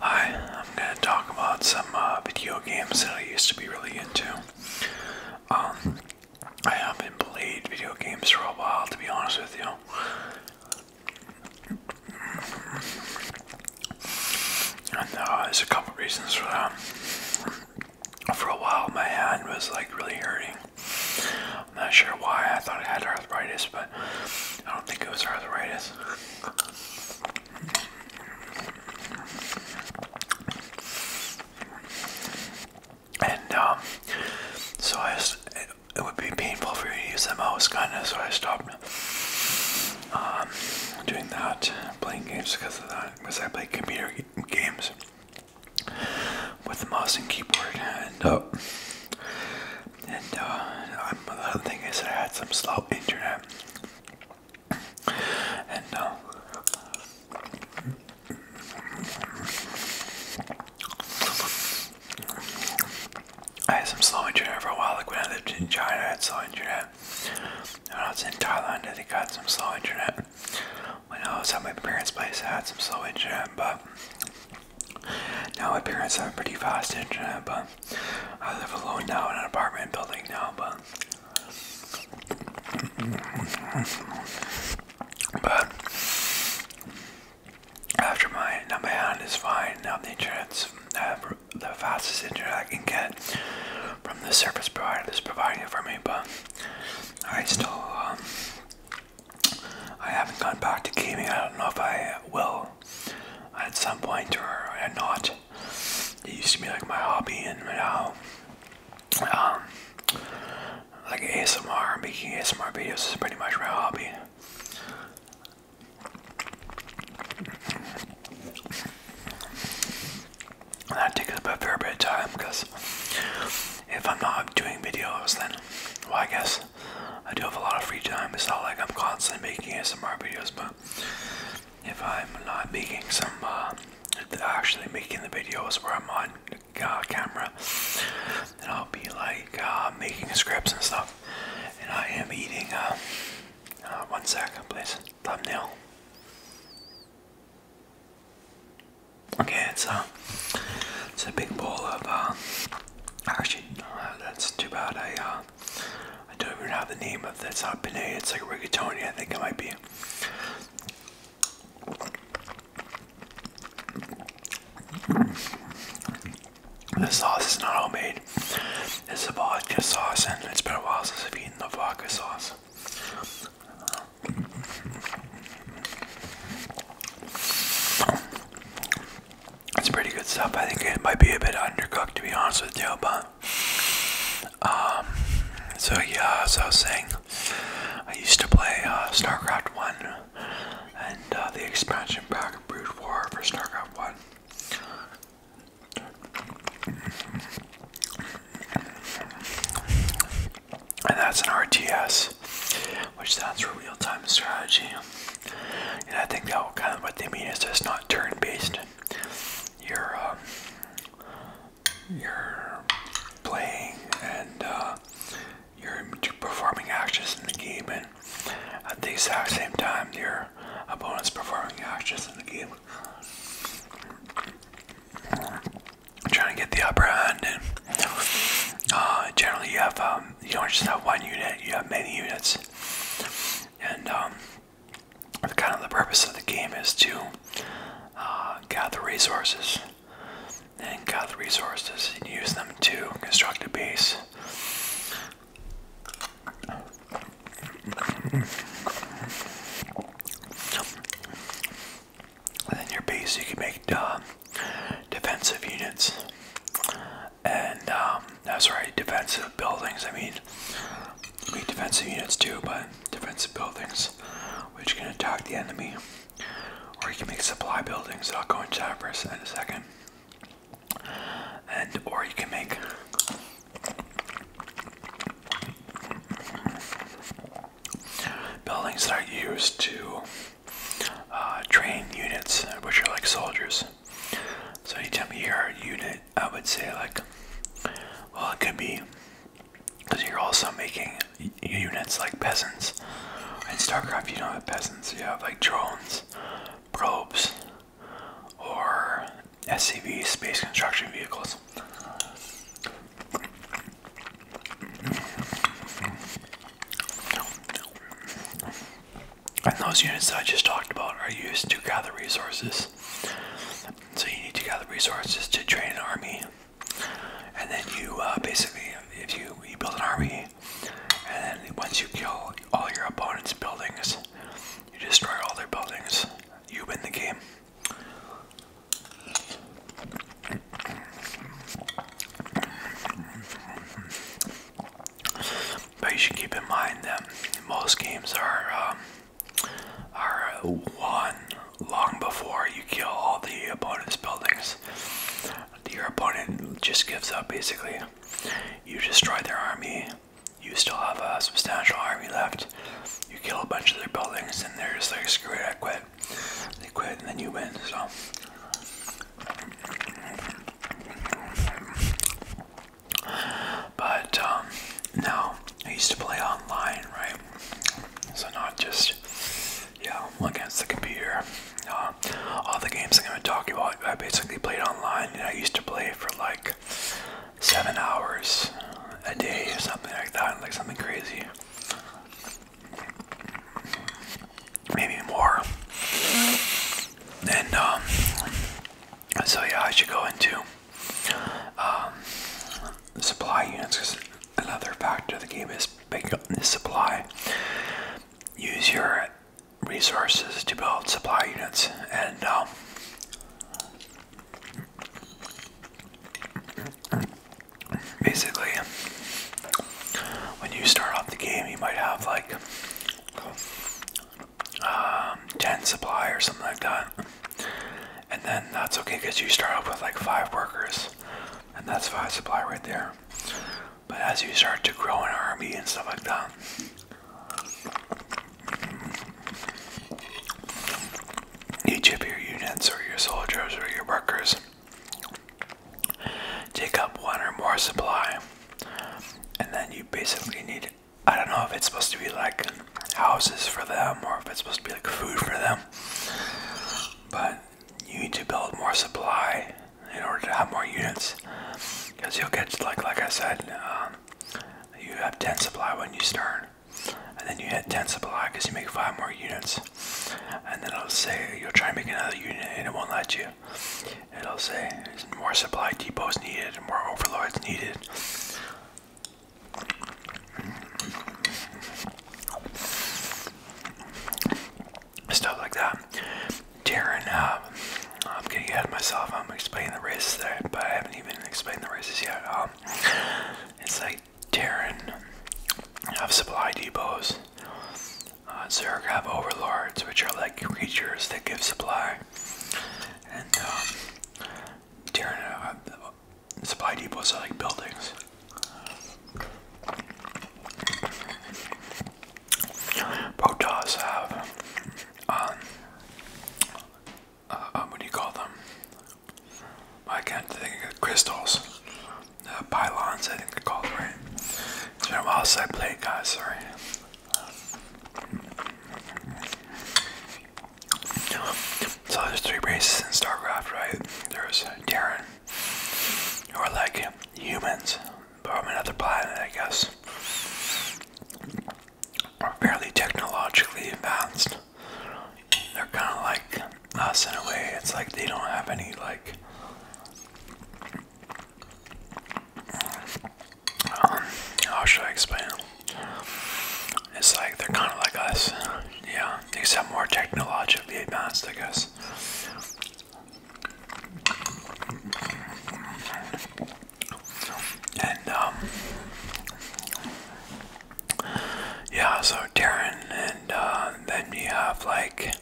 Hi, I'm gonna talk about some uh, video games that I used to be really into. Um, I haven't played video games for a while, to be honest with you. Uh, there's a couple reasons for that. For a while, my hand was like really hurting. I'm not sure why. I thought I had arthritis, but I don't think it was arthritis. And um, so it, would be painful for you to use them out was kind of so I stopped um, doing that, playing games because of that, because I play computer games with the mouse and keyboard, and uh, and uh, i thing is I had some slow internet, and uh, I had some slow internet for a while. Like when I lived in China, I had slow internet. When I was in Thailand, they think I some slow internet. When I was at my parents' place, I had some slow internet, but now my parents have pretty fast internet. But I live alone now in an apartment building now, but after my now my hand is fine now the internet's uh, the fastest internet I can get from the service provider that's providing it for me, but I still um, I haven't gone back to gaming. I don't know if I will at some point or not. It used to be like my hobby, and now, um, like ASMR, making ASMR videos is pretty much my hobby. that takes up a fair bit of time because if I'm not doing videos, then, well, I guess I do have a lot of free time. It's not like I'm constantly making ASMR videos, but if I'm not making some, uh, actually making the videos where I'm on uh, camera, and I'll be like uh, making scripts and stuff, and I am eating. Uh, uh, one second, please. Thumbnail. Okay, it's a uh, it's a big ball of. actually, that's too bad. I I don't even have the name of that's not Pinay, it's like rigatoni, I think it might be. The sauce is not homemade. It's a just sauce, and it's been a while since I've eaten the vodka sauce. It's pretty good stuff. I think it might be a bit undercooked to be honest with you, but um, so yeah, so I was saying, I used to play uh, StarCraft One and uh, the expansion pack of Brood War for StarCraft One. And that's an RTS, which stands for real-time strategy. And I think that kind of what they mean is just not turn-based. You're um, you're playing and uh, you're performing actions in the game, and at the exact same time, your opponent's performing actions in the game. Trying to get the upper hand, and uh, generally you have um, you don't just have one unit; you have many units, and um, kind of the purpose of the game is to uh, gather resources and gather resources and use them to construct a base. And in your base, you can make uh, defensive units and um, that's right, defensive buildings. I mean, I defensive units too, but defensive buildings which can attack the enemy, or you can make supply buildings. I'll go into that for in a second, and or you can make. Buildings that are used to uh, train units, which are like soldiers. So anytime you hear a unit I would say like, well, it could be because you're also making units like peasants. In StarCraft, you don't have peasants. You have like drones, probes, or SCV, space construction vehicles. And those units I just talked about are used to gather resources. So you need to gather resources to train an army, and then you uh, basically, if you you build an army, and then once you kill all your opponent's buildings, you destroy all their buildings. You win the game. But you should keep in mind that most games are um, are won long before you kill all the opponent's buildings. Your opponent just gives up basically. You destroy their army. You still have a substantial army left. You kill a bunch of their buildings, and they're just like, "Screw it, I quit." They quit, and then you win. So. But um, no, I used to play online, right? So not just yeah against the computer. Uh, all the games I'm gonna talk about, I basically played online, and I used to play for like seven hours a day or something like that, like something crazy. Maybe more. And um, so yeah, I should go into um, supply units because another factor of the game is picking up the supply. Use your resources to build supply units and um, basically when you start off the game you might have like um, 10 supply or something like that. And then that's okay because you start off with like five workers, and that's five supply right there. But as you start to grow an army and stuff like that, each of your units or your soldiers or your workers take up one or more supply, and then you basically need I don't know if it's supposed to be like houses for them or if it's supposed to be like food for them. But you need to build more supply in order to have more units. Because you'll get, like, like I said, um, you have 10 supply when you start. And then you hit 10 supply because you make 5 more units. And then it'll say you'll try and make another unit and it won't let you it'll say more supply depots needed, more overlords needed. Stuff like that. Darren, um, I'm getting ahead of myself. I'm explaining the races there, but I haven't even explained the races yet. Um, it's like Darren have supply depots. Uh, Zerg have overlords, which are like creatures that give supply and um, tearing out supply depots are like buildings. Potas have, um, uh, what do you call them? I can't think of crystals. Uh, pylons, I think they call them, right? It's been guys, sorry. So there's three races in StarCraft, right? There's Terran, who are like humans, but from another planet, I guess. Are fairly technologically advanced. They're kind of like us in a way. It's like they don't have any like um, how should I explain it? It's like they're kind of like us, yeah, except more technologically advanced, I guess. And, um, yeah, so Darren, and uh, then you have like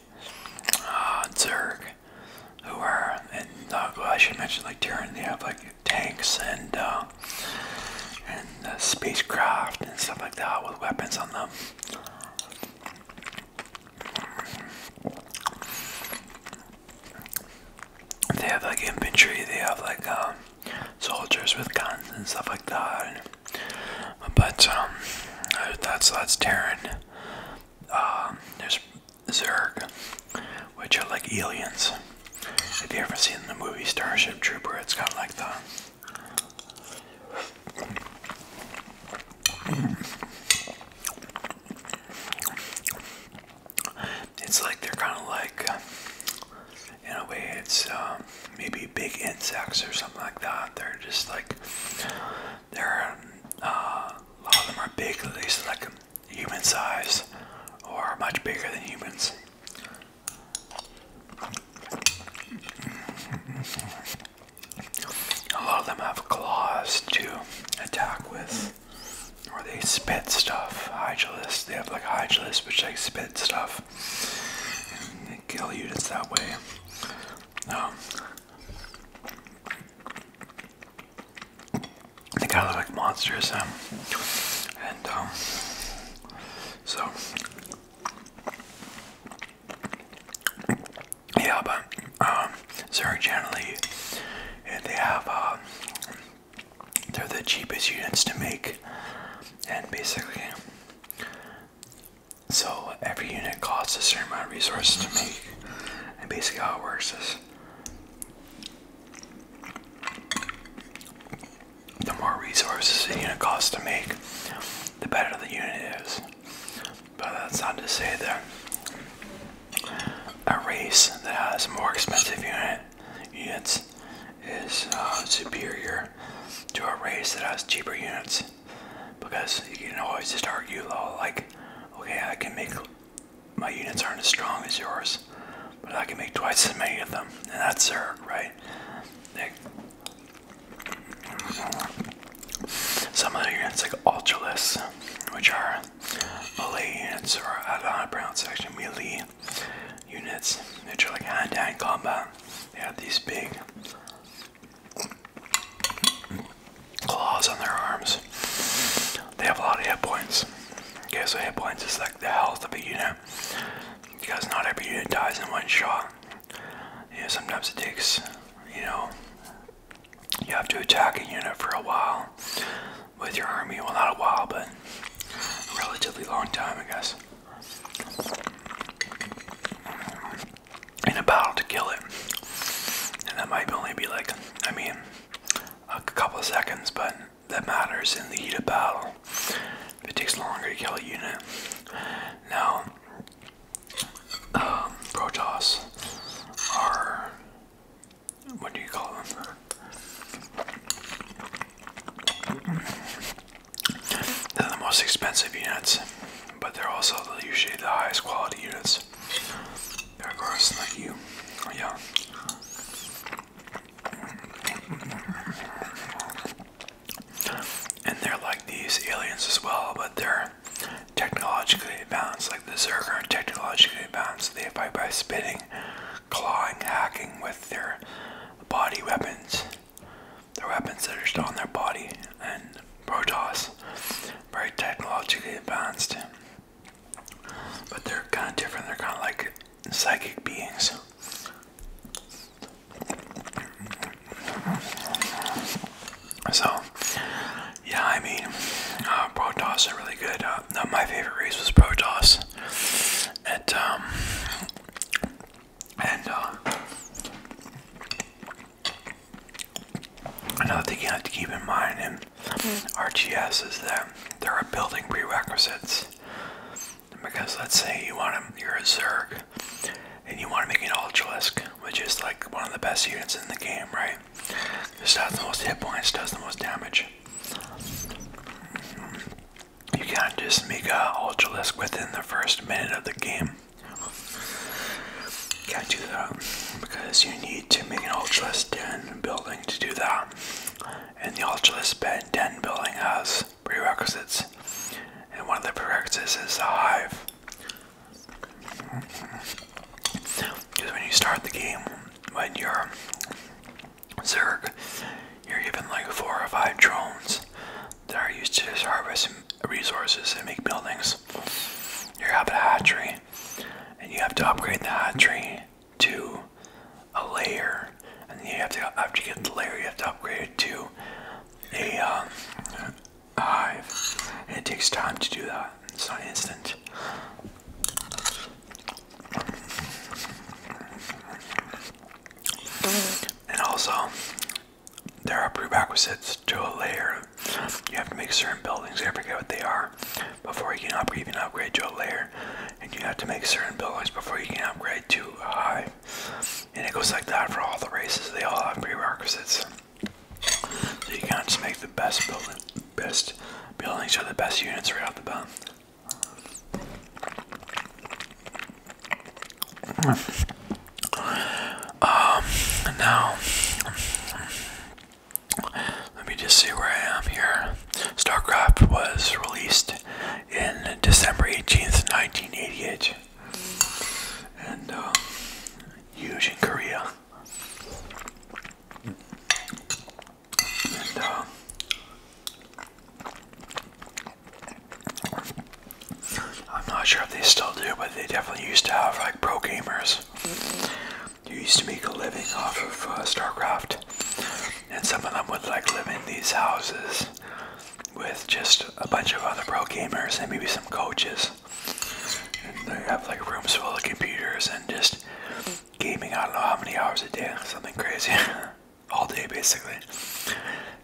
uh, Zerg, who are, and uh, I should mention, like Terran, they have like tanks and uh, and uh, spacecraft and stuff like that with weapons on them. They have like infantry. They have like um, soldiers with guns and stuff like that. but um, that's that's Terran. Um, there's Zerg, which are like aliens. If you ever seen the movie Starship Trooper, it's got like the it's like they're kind of like, in a way, it's um, maybe big insects or something like that. They're just like, they're, uh, a lot of them are big, at least like human size or much bigger than humans. A lot of them have claws to attack with. Or they spit stuff. hydrolists They have like hydrolists, which they spit stuff. And kill units that way. Um, they kind of look like monsters, um, and um, so yeah. But um, Zurich generally they have um, they're the cheapest units to make, and basically, so every unit costs a certain amount of resources to make, and basically how it works is the more resources a unit costs to make, the better the unit is. But that's not to say that a race that has more expensive unit units is uh, superior to a race that has cheaper units because you can always just argue like okay I can make my units aren't as strong as yours, but I can make twice as many of them, and that's her, right? some of the units like Ultralists, which are melee units, or I don't know how to melee units, which are like hand to -hand combat. They have these big claws on their arms. They have a lot of hit points. Okay, so hit points is like the health of a unit. Because not every unit dies in one shot. You know, sometimes it takes, you know, you have to attack a unit for a while with your army. Well, not a while, but a relatively long time, I guess. In a battle to kill it. And that might only be like, I mean, a couple of seconds, but that matters in the heat of battle. it takes longer to kill a unit. Now, um, Protoss are. What do you call them? They're the most expensive units, but they're also usually the highest quality units. There goes like you. Oh, yeah. And they're like these aliens as well, but they're technologically advanced. Like the Zerg are technologically advanced. They fight by spitting, clawing, hacking with their body weapons. Their weapons that are still on their body. And Protoss, very technologically advanced. But they're kind of different. They're kind of like psychic beings. So, yeah, I mean, uh, Protoss are really good. Uh, my favorite race was Protoss. And, um, and, uh, another thing you have to keep in mind, Mm. RGS is that there are building prerequisites. Because let's say you want to, you're a Zerg, and you want to make an Ultralisk, which is like one of the best units in the game, right? Just has the most hit points, does the most damage. Mm-hmm. You can't just make a Ultralisk within the first minute of the game. can't do that because you need to make an Ultralisk 10 building to do that. And the Ultralist Bed den building has prerequisites. And one of the prerequisites is a hive. Because when you start the game, when you're Zerg, you're given like four or five drones that are used to harvest resources and make buildings. You have a hatchery, and you have to upgrade the hatchery to a layer, and you have to after you get the layer, you have to upgrade it to a um, hive. it takes time to do that. It's not instant. And also, there are prerequisites to a layer. You have to make certain buildings. I forget what they are before you can upgrade you can upgrade your layer and you have to make certain buildings before you can upgrade to high. And it goes like that for all the races. They all have prerequisites. So you can't just make the best building best buildings or the best units right off the bat. Um now let me just see where I am here. StarCraft was released in December 18th, 1988. And uh, huge in Korea. Uh, I'm not sure if they still do, but they definitely used to have like pro gamers you used to make a living off of uh, StarCraft, and some of them would like live in these houses with just a bunch of other pro gamers and maybe some coaches. And they have like rooms full of computers and just gaming. I don't know how many hours a day, something crazy, all day basically,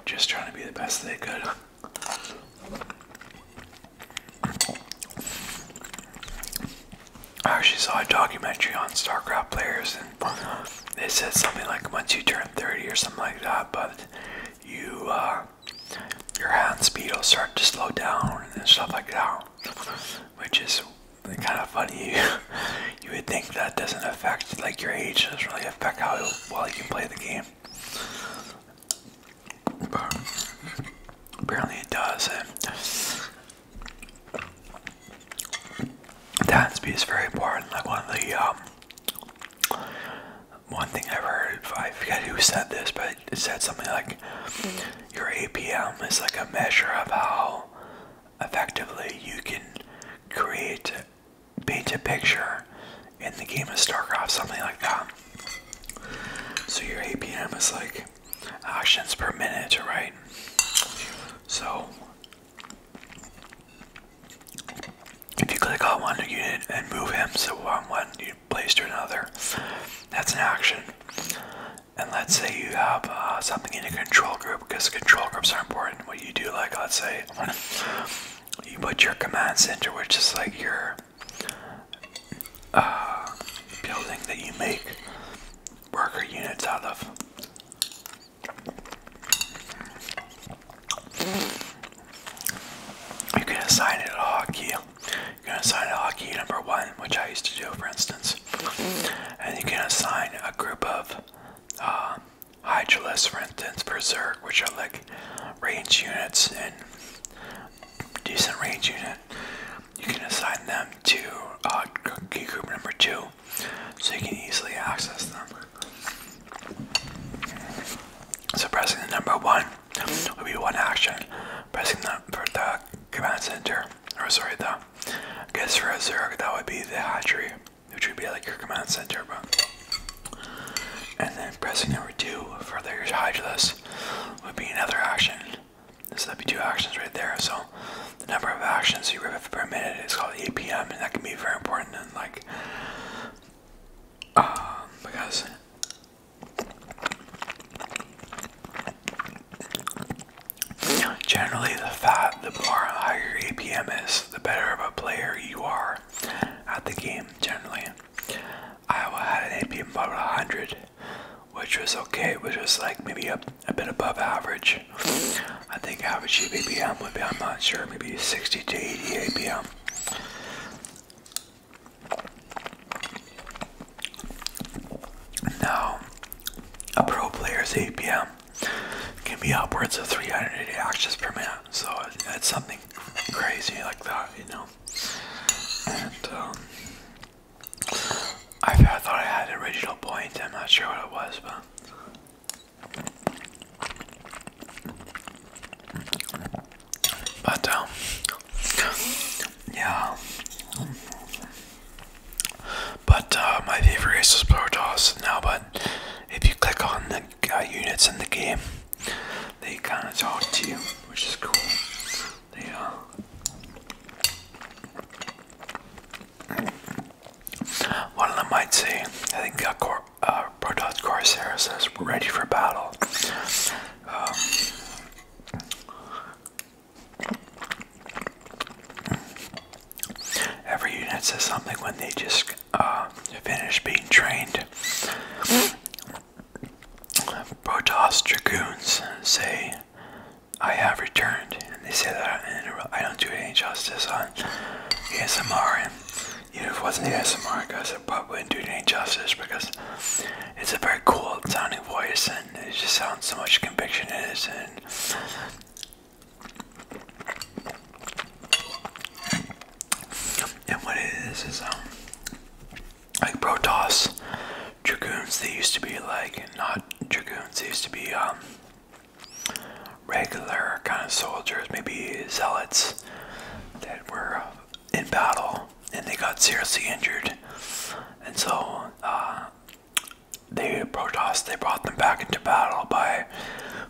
just trying to be the best they could. I oh, actually saw a documentary on StarCraft players, and they said something like once you turn 30 or something like that, but you, uh, your hand speed will start to slow down and stuff like that, which is kind of funny. you would think that doesn't affect, like, your age doesn't really affect how well you can play the game. apparently it does, Dance is very important. Like one of the um, one thing I heard, I forget who said this, but it said something like mm-hmm. your APM is like a measure of how effectively you can create, paint a picture in the game of StarCraft, something like that. So your APM is like actions per minute, right? So if you click on one unit and move him so on one you place to another, that's an action. And let's say you have uh, something in a control group because control groups are important. What you do, like let's say you put your command center, which is like your uh, building that you make worker units out of. You can assign it a hotkey. You can assign a hotkey number one, which I used to do, for instance. And you can assign a group of uh, Hydralis, for instance, Berserk, which are like range units and decent range unit you can assign them to uh, key group number two so you can easily access them. So pressing the number one would be one action. Pressing the, for the command center, or sorry, the I guess for a zero that would be the hatchery, which would be like your command center, but. And then pressing number two for the Hydralis would be another action. So that'd be two actions right there. So the number of actions you rip per minute is called APM, and that can be very important and like um, because generally the fat, the more higher APM is, the better of a player you are at the game. Generally, Iowa had an APM of about 100 which was okay, which was like maybe a, a bit above average. I think average ABM would be, I'm not sure, maybe 60 to 80 ABM. Now, a pro player's APM can be upwards of 380 actions per minute, so it's something crazy like that, you know. And um, I thought I had an original point, I'm not sure what it was, but. But, um, yeah. But, uh, my favorite is Protoss now, but if you click on the uh, units in the game, they kind of talk to you, which is cool. Yeah. Uh, one of them might say, I think uh, uh Protoss Corsair says, we're ready for battle. Um, every unit says something when they just uh, finish being trained. Protoss Dragoons say, I have returned, and they say that I, don't do it any justice on ASMR. And if it wasn't ASMR, guys, I probably wouldn't do it any justice because it's a very cool sounding voice, and it just sounds so much conviction in it. And what it is is um like Protoss dragoons they used to be like not dragoons they used to be um, regular kind of soldiers maybe zealots that were in battle and they got seriously injured and so uh, they brought they brought them back into battle by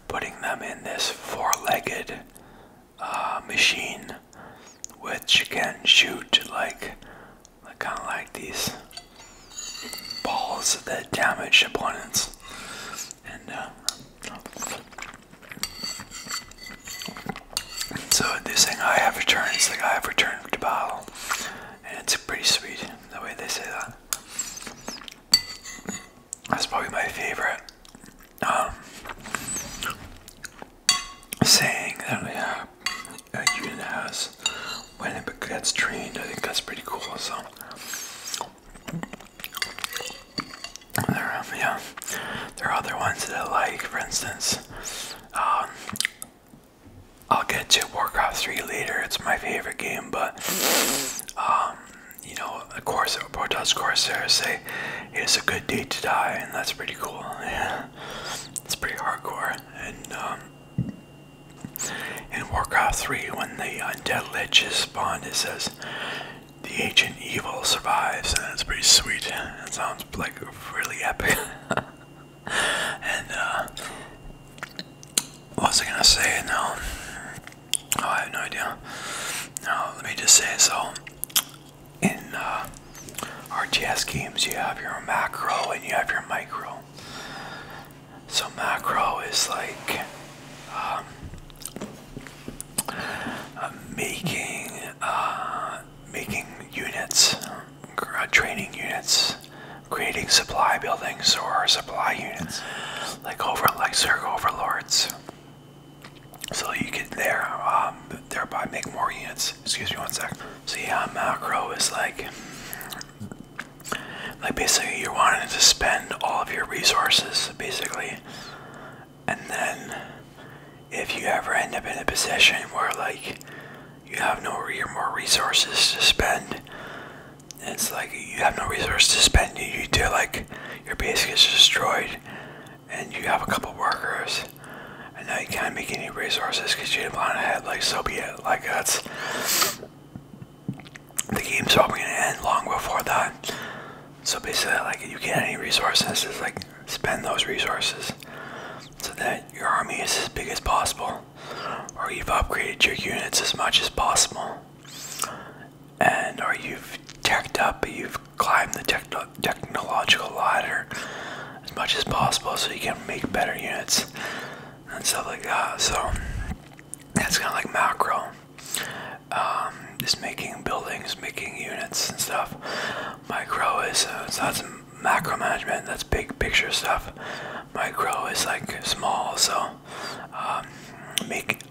putting them in this four-legged uh, machine which can shoot like I kind of like these balls that damage opponents. And uh, so this thing I have returned like I have returned to battle. And it's pretty sweet the way they say that. That's probably my favorite um, saying There we are a unit has when it gets trained. I think that's pretty cool. So, there, yeah, there are other ones that I like. For instance, um, I'll get to Warcraft 3 later. It's my favorite game, but um, you know, of course, Protoss Corsairs say it is a good day to die, and that's pretty cool. Yeah, it's pretty hardcore, and um, in Warcraft 3, when the undead lich is spawned, it says the ancient evil survives, and it's pretty sweet. That sounds like really epic. and uh, what was I gonna say? No, oh, I have no idea. No, let me just say so. In uh, RTS games, you have your macro and you have your micro. So, macro is like um, uh, making uh, making units, uh, training units, creating supply buildings or supply units, like over like Zerg overlords. So you can there, um, thereby make more units. Excuse me one sec. So yeah, macro is like like basically you're wanting to spend all of your resources basically and then if you ever end up in a position where like you have no re more resources to spend it's like you have no resource to spend you do like your base gets destroyed and you have a couple workers and now you can't make any resources because you didn't plan ahead. Like so be it. Like that's the game's probably gonna end long before that. So basically, like you get any resources, it's like spend those resources so that your army is as big as possible, or you've upgraded your units as much as possible, and or you've teched up, you've climbed the technological ladder as much as possible so you can make better units and stuff like that. So that's kind of like macro. Um, just making buildings, making units and stuff. Micro is uh, that's macro management. That's big picture stuff. Micro is like small. So um, make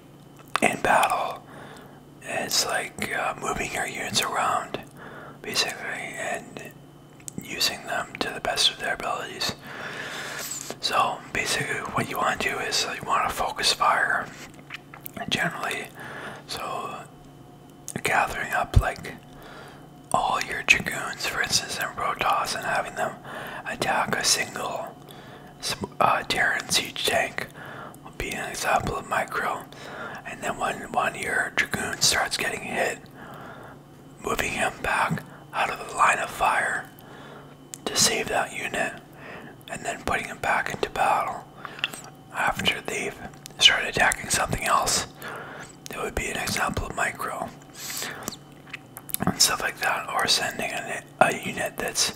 in battle. It's like uh, moving your units around, basically, and using them to the best of their abilities. So basically, what you want to do is uh, you want to focus fire generally. So gathering up like all your dragoons, for instance, and Rotas, and having them attack a single uh, Terran siege tank will be an example of micro. And then when one of your dragoons starts getting hit, moving him back out of the line of fire to save that unit and then putting him back into battle after they've started attacking something else. That would be an example of micro and stuff like that, or sending a unit that's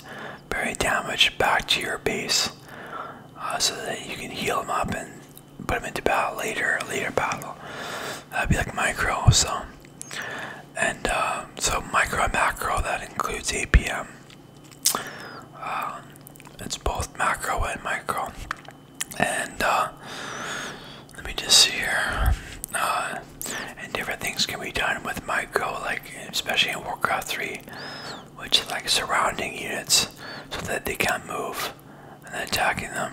very damaged back to your base uh, so that you can heal them up and put them into battle later, later battle. That'd be like micro, so. And um, so micro macro, that includes APM. Um, it's both macro and micro. And uh, let me just see here. Uh, and different things can be done with micro, like especially in Warcraft 3, which like surrounding units so that they can't move and attacking them.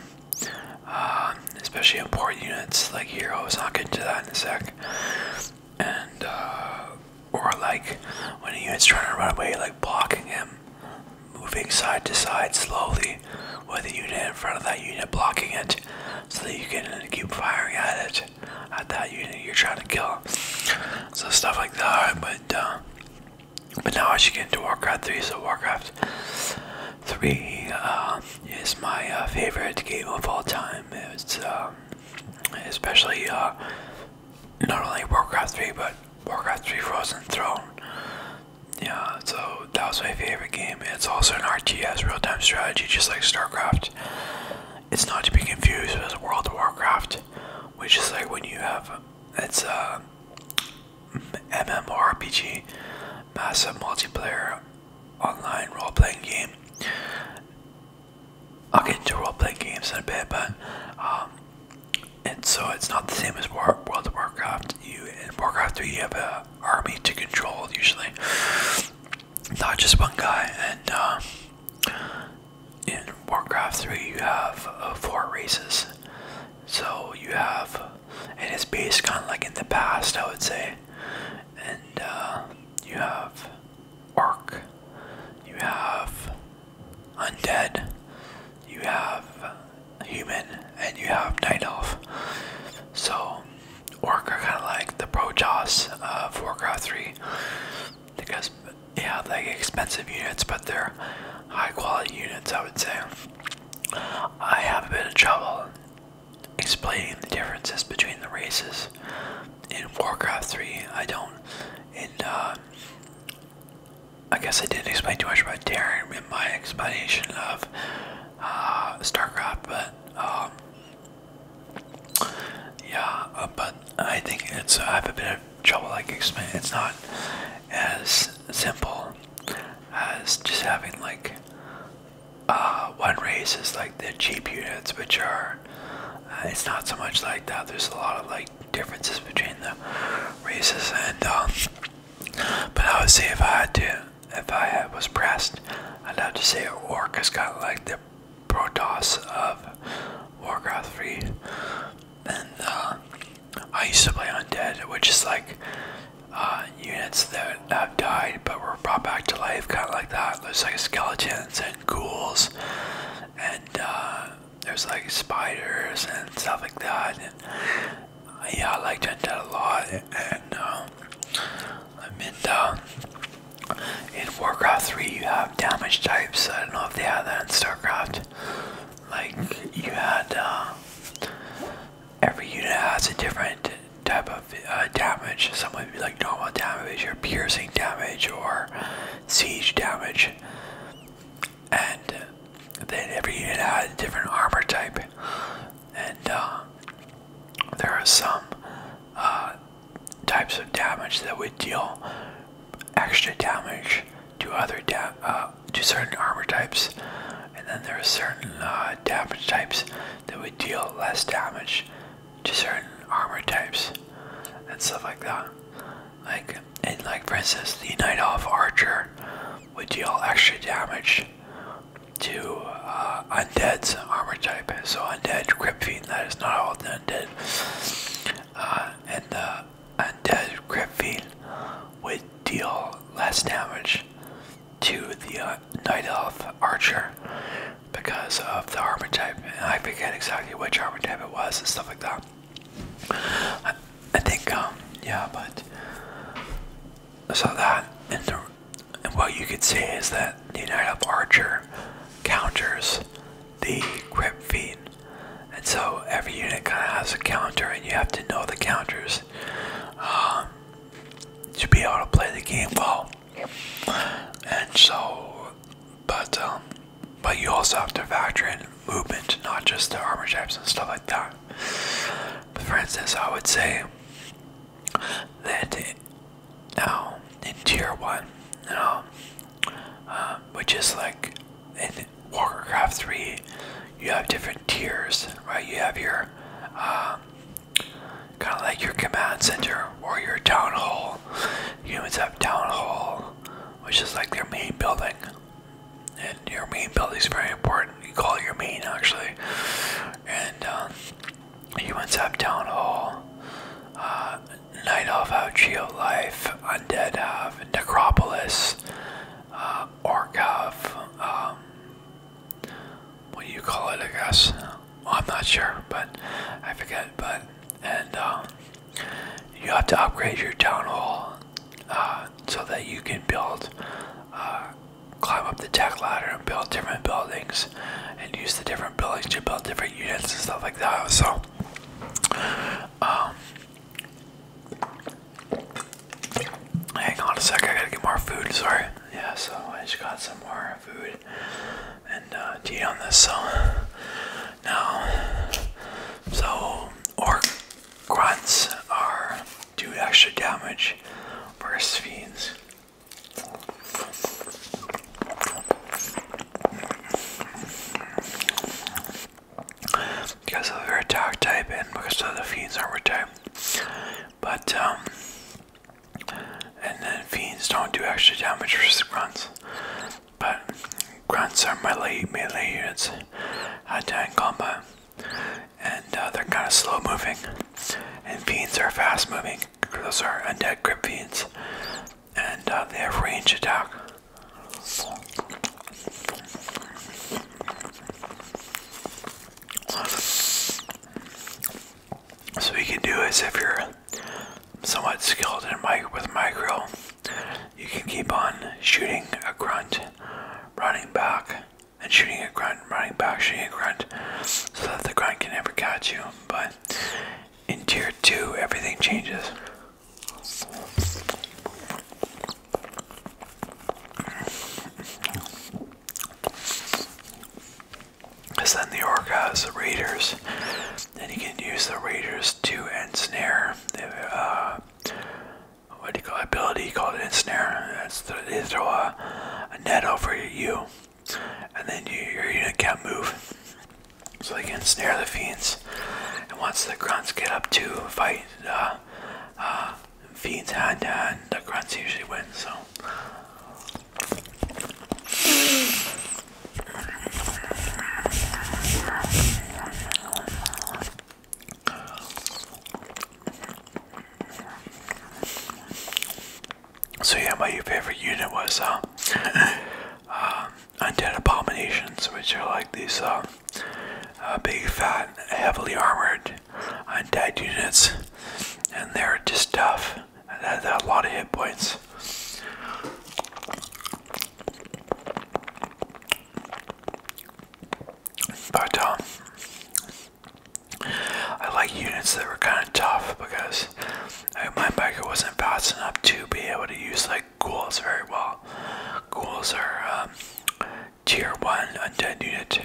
Uh, especially important units like heroes, I'll get into that in a sec. And, uh, or like when a unit's trying to run away, like blocking him, moving side to side slowly with a unit in front of that unit blocking it so that you can keep firing at it, at that unit you're trying to kill. So, stuff like that, but, uh, but now I should get into Warcraft 3. So Warcraft 3 uh, is my uh, favorite game of all time. It's um, especially uh, not only Warcraft 3, but Warcraft 3 Frozen Throne. Yeah, so that was my favorite game. It's also an RTS, real-time strategy, just like StarCraft. It's not to be confused with World of Warcraft, which is like when you have it's uh MMORPG, massive multiplayer online role playing game. I'll get into role playing games in a bit, but um, and so it's not the same as World of Warcraft. You in Warcraft 3 you have an army to control usually, not just one guy. And uh, in Warcraft 3 you have uh, four races, so you have, and it's based kind of like in the past, I would say. And uh, you have orc, you have Undead, you have Human, and you have Night Elf. So Orc are kind of like the Protoss uh, of Warcraft 3 because they have like expensive units, but they're high quality units, I would say. I have a bit of trouble explaining the differences between the races. In Warcraft 3, I don't. And uh, I guess I didn't explain too much about Terran in my explanation of uh, StarCraft, but um, yeah, uh, but I think it's I have a bit of trouble like explaining. It's not as simple as just having like uh, one race is like the cheap units, which are uh, it's not so much like that. There's a lot of like differences between the races, and um, but I would say if I had to, if I had, was pressed, I'd have to say orc is kind like the Protoss of Warcraft 3, and uh, I used to play Undead, which is like uh, units that have died but were brought back to life, kind of like that. There's like skeletons and ghouls, and uh, there's like spiders and stuff like that. And yeah, I liked Undead a lot, and uh, in Warcraft 3, you have damage types. I don't know if they had that in StarCraft. Like, you had. Uh, every unit has a different type of uh, damage. Some would be like normal damage or piercing damage or siege damage. And then every unit has a different armor type. And uh, there are some uh, types of damage that would deal extra damage to other uh, to certain armor types, and then there are certain uh, damage types that would deal less damage to certain armor types and stuff like that. Like and like Princess the Night Elf Archer would deal extra damage to uh, undead's armor type. So undead, grip fiend, that is not all undead. Uh, and and grip Griffin would deal less damage to the uh, Night Elf Archer because of the archetype, and I forget exactly which armor type it was and stuff like that. I, think, um, yeah, but so that, and, the, what you could say is that the Night Elf Archer counters the Grip Fiend. And so every unit kind of has a counter, and you have to know the counters um, to be able to play the game well. And so, but um, but you also have to factor in movement, not just the armor types and stuff like that. for instance, I would say that now um, in tier one, uh, which is like Walker 3, you have different tiers, right? You have your um, kind of like your command center or your town hall. Humans have town hall, which is like their main building. And your main building is very important. You call it your main actually. And um, humans have town hall. Uh, Night Elf have Life. Undead have Necropolis, uh, Orgov, um, what you call it, I guess? I'm not sure, but I forget. But and um, you have to upgrade your town hall uh, so that you can build, uh, climb up the tech ladder and build different buildings, and use the different buildings to build different units and stuff like that. So, um, Hang on a sec, I gotta get more food, sorry. Yeah, so I just got some more food and uh, on this, so now, so orc grunts are do extra damage versus fiends because of their attack type and because of the Fiend's armor type. But, um, and then Fiends don't do extra damage versus Grunts. But Grunts are melee, melee units attack combat. And uh, they're kind of slow moving. And Fiends are fast moving. Those are undead grip Fiends. And uh, they have range attack. So what you can do is if you're somewhat skilled in mic with micro, you can keep on shooting a grunt, running back, and shooting a grunt, running back, shooting a grunt, so that the grunt can never catch you. But in tier two, everything changes. Because then the orc has the raiders, and you can use the raiders to ensnare. Uh, what do you call it? ability called ensnare? That's the, they throw a, net over you, and then your unit can't move. So they can ensnare the fiends, and once the grunts get up to fight, uh, uh, feeds hand to hand, the grunts usually win, so. So yeah, my favorite unit was uh, Undead um, Abominations, which are like these uh, big, fat, heavily armored, undead units, and they're just tough. They have a lot of hit points. But um, I like units that were kind of tough because like, my biker wasn't fast enough to be able to use like ghouls very well. Ghouls are um, tier 1 undead unit.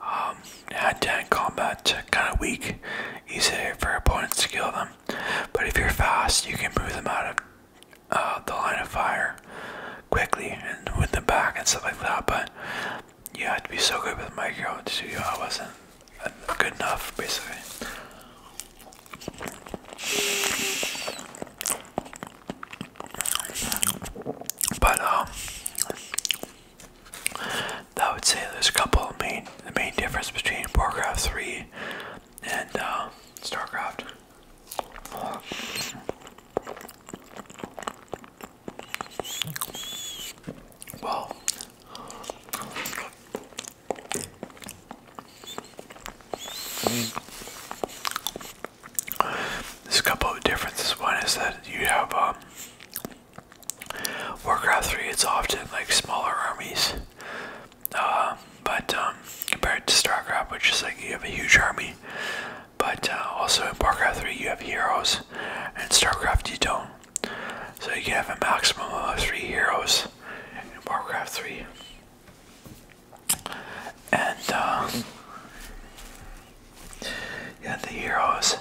Um, undead combat, kind of weak, easy for opponents to kill them. But if you're fast, you can move them out of uh, the line of fire quickly and with the back and stuff like that. But you had to be so good with micro to do know, uh, I wasn't good enough basically. But um, I would say there's a couple main the main difference between Warcraft three and uh, Starcraft. Well. I mean, there's a couple of differences. One is that you have um, Warcraft 3, it's often like smaller armies. Uh, but um, compared to StarCraft, which is like you have a huge army, but uh, also in Warcraft 3 you have heroes, and StarCraft you don't. So you can have a maximum of three heroes in Warcraft 3 and um, yeah, the heroes,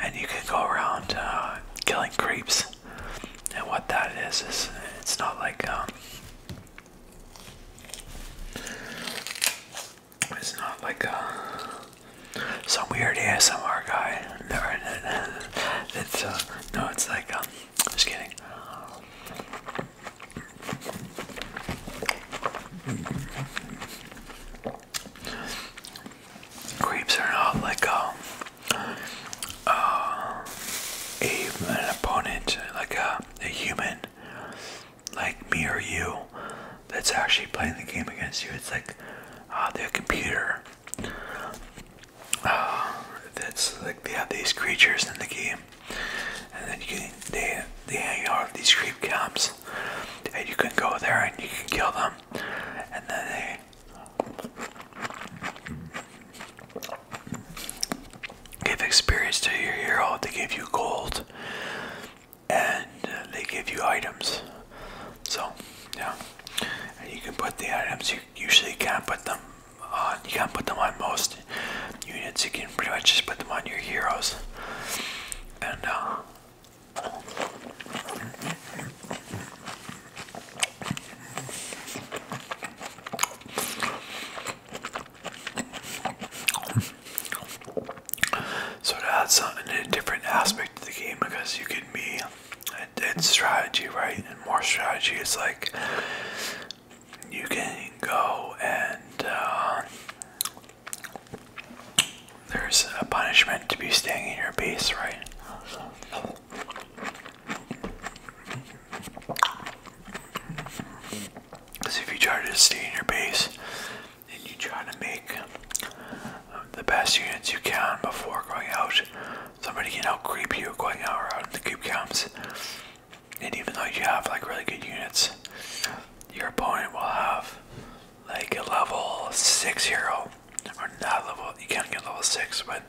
and you can go around uh, killing creeps. And what that is is it's not like um, it's not like uh, some weird ASMR guy. It's uh, no, it's like um, just kidding. Creeps are not like a, um, uh, a an opponent, like a, a human, like me or you, that's actually playing the game against you. It's like uh, their computer. Uh, that's like they have these creatures in the game and then you can they they hang out with these creep camps, and you can go there and you can kill them, and then they. Give experience to your hero. They give you gold, and uh, they give you items. So, yeah, and you can put the items. You usually can't put them on. You can't put them on most units. You can pretty much just put them on your heroes. And, uh, so something a different aspect to the game because you can be in strategy right and more strategy it's like you can go and uh, there's a punishment to be staying in your base, right? Because if you try to stay in your base and you try to make uh, the best units you can before going out, somebody can out creep you going out around the cube camps and even though you have like really good units, your opponent will have like a level six hero, or not level. You can't get level six, but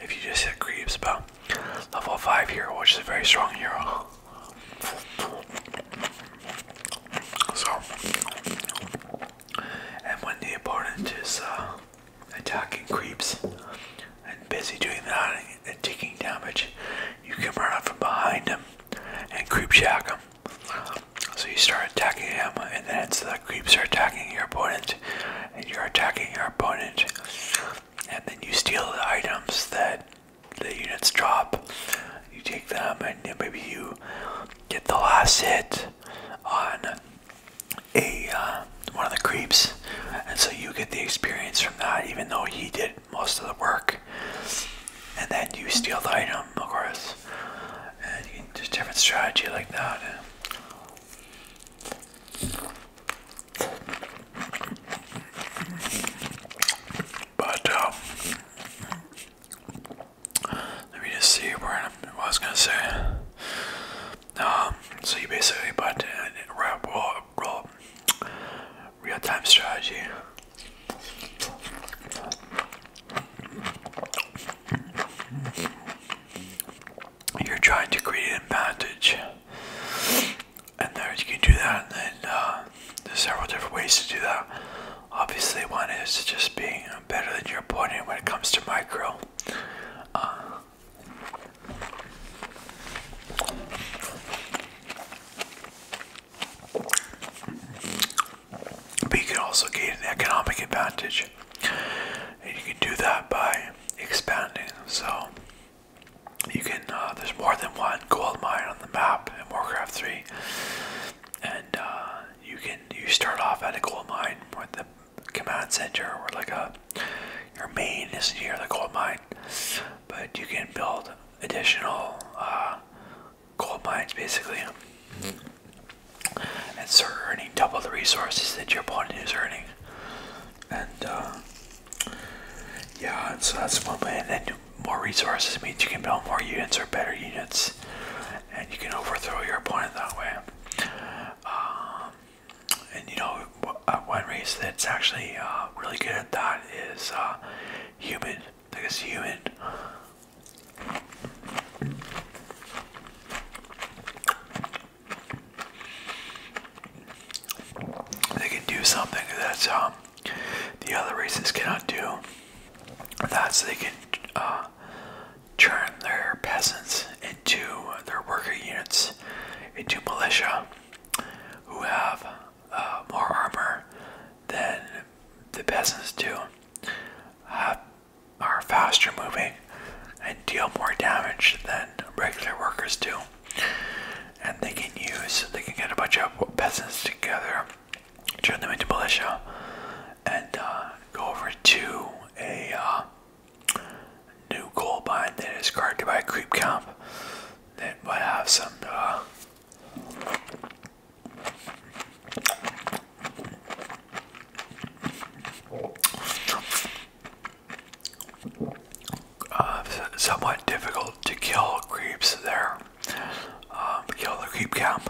if you just hit creeps, but level five hero, which is a very strong hero. So, and when the opponent is uh, attacking creeps and busy doing that and taking damage, you can run up from behind him and creep shack them. So you start attacking them, and then it's the creeps are attacking your opponent, and you're attacking your opponent, and then you steal the items that the units drop. You take them, and then maybe you get the last hit on a uh, one of the creeps, and so you get the experience from that, even though he did most of the work, and then you steal the item, of course. And just different strategy like that. But um, let me just see where I was gonna say. Um, so you basically put in, well, raw real-time strategy. You're trying to create an advantage, and there you can do that. And then uh, there's several different ways to do that. Obviously, one is just being better than your opponent when it comes to micro. Uh, but you can also gain an economic advantage. And you can do that by expanding. So you can uh, there's more than one gold mine on the map in Warcraft 3. And uh, you can you start off at a gold mine with the command center or like a your main is near the gold mine but you can build additional uh, gold mines basically and start earning double the resources that your opponent is earning. And uh, yeah, so that's one way. And then more resources means you can build more units or better units, and you can overthrow your opponent that way. Um, and you know, uh, one race that's actually uh, really good at that is uh, human. Like it's human. They can do something that um, the other races cannot do. That's they can uh, turn their peasants into their worker units, into militia, who have uh, more armor than the peasants do, are faster moving, and deal more damage than regular workers do. And they can use, they can get a bunch of peasants together, turn them into militia, and uh, go over to a uh, new coal mine that is guarded by a creep camp that might have some uh, somewhat difficult to kill creeps there. Um, kill the creep camp,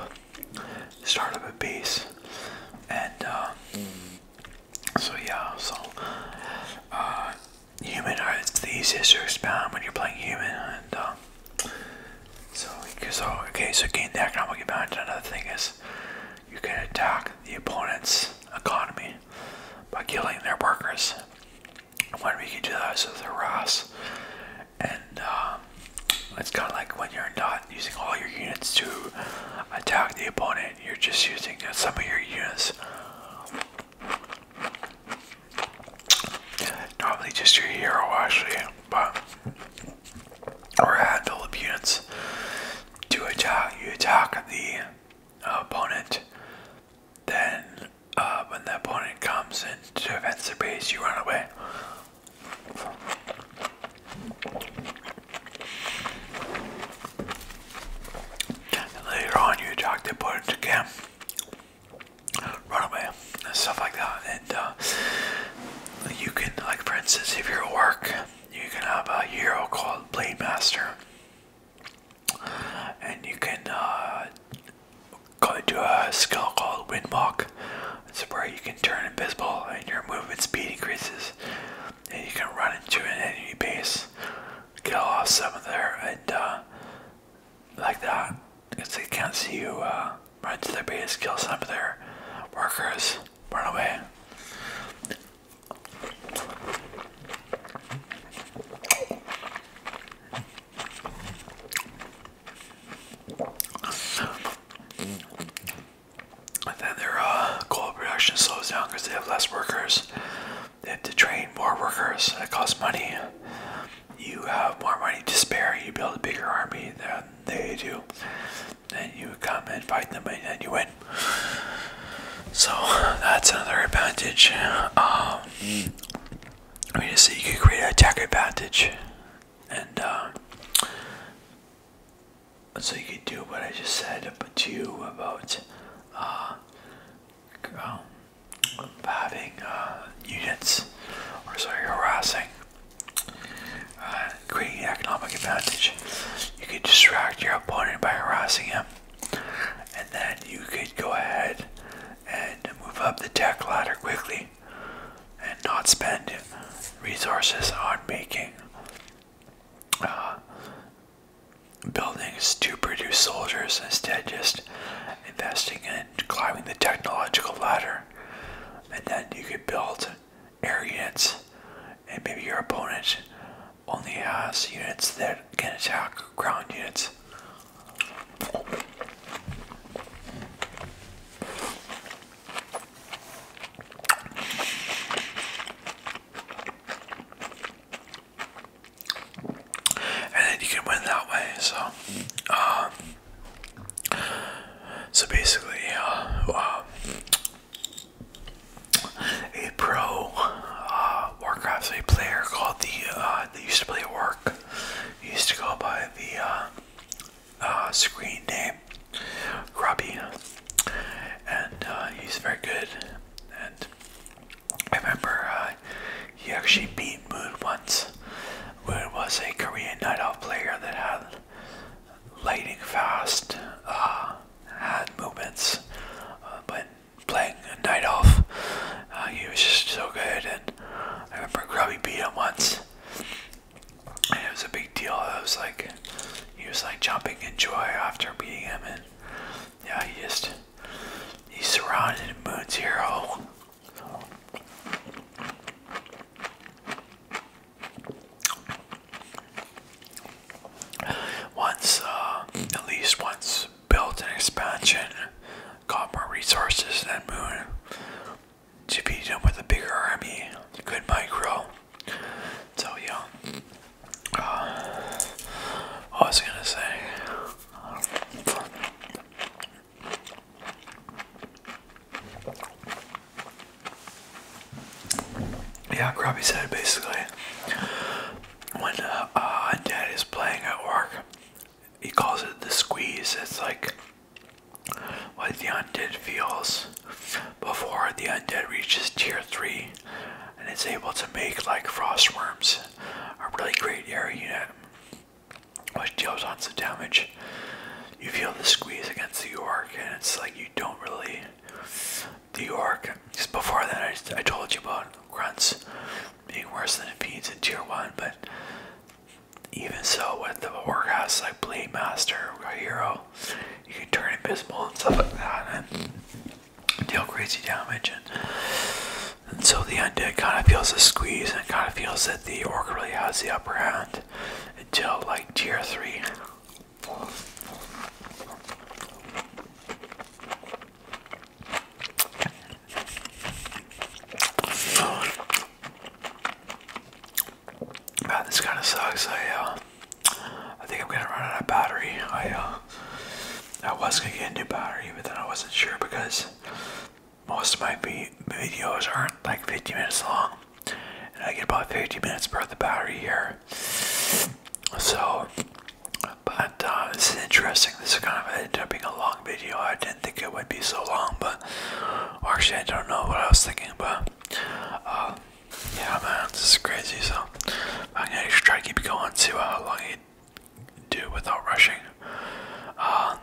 start up a base, and um, so yeah, so uh, human art it's the easiest to expound when you're playing human and so oh, okay so gain the economic advantage another thing is you can attack the opponent's economy by killing their workers when we can do that is with harass and um, it's kind of like when you're not using all your units to attack the opponent you're just using uh, some of your units Normally just your hero actually, but or add the Libyans to attack you attack the uh, opponent, then uh, when the opponent comes and defends the base you run away. later on you attack the opponent again. Runaway and stuff like that. And uh, you can, like for instance, if you're at work, you can have a hero called Blade Master, and you can uh, do a skill called Windwalk. It's where you can turn invisible and your movement speed increases, and you can run into an enemy base, kill off some of their, and uh, like that. because they can't see you uh, run to their base, kill some of their workers, run away. And then their coal uh, production slows down because they have less workers. They have to train more workers. That costs money you have more money to spare, you build a bigger army than they do, and you come and fight them and you win. So that's another advantage. Um, I mean, so you could create an attack advantage, and um, so you could do what I just said to you about uh, um, having uh, units, or sorry, harassing, uh, creating economic advantage. You could distract your opponent by harassing him, and then you could go ahead and move up the tech ladder quickly and not spend resources on making uh, buildings to produce soldiers, instead, just investing in climbing the technological ladder, and then you can build air units, and maybe your opponent only has units that can attack ground units and then you can win that way. So, um, so basically, uh, um, a pro uh, Warcraft player called the uh, used to play at work. He used to go by the uh, screen name Robbie, and he's very good. And I remember uh, he actually beat Moon once. Moon was a Korean night out player that had lightning fast, uh, had movements, uh, but playing a night off, uh, he was just so good. And I remember Grubby beat him once, and it was a big deal. It was like he was like jumping in joy after beating him, yeah, he just he's surrounded in Moon's hero. Oh. Once, uh, at least once, built an expansion, got more resources than Moon to beat him with a bigger army, good micro. So yeah, uh, was gonna say? Yeah, Grubby said basically when uh, uh, dad is playing at work, he calls it the squeeze. It's like what the undead feels before the undead reaches tier 3 and it's able to make like frost worms a really great area unit which deals lots of damage. You feel the squeeze against the orc, and it's like you don't really. The orc. Just before that, I, I told you about grunts being worse than fiends in tier one, but even so, with the orc workhouse like Blade Master or Hero, you can turn invisible and stuff like that and deal crazy damage. And and so the it kind of feels a squeeze and kind of feels that the orc really has the upper hand until like tier 3. Man, this kind of sucks. I, uh, I think I'm gonna run out of battery. I, uh, I was gonna get a new battery, but then I wasn't sure because most of my videos aren't like 50 minutes long, and I get about 50 minutes worth of battery here. So, but uh, this is interesting. This is kind of ended up being a long video. I didn't think it would be so long, but actually, I don't know what I was thinking, but uh, yeah, man, this is crazy. So, I'm gonna try to keep going, see how long it do without rushing. Uh,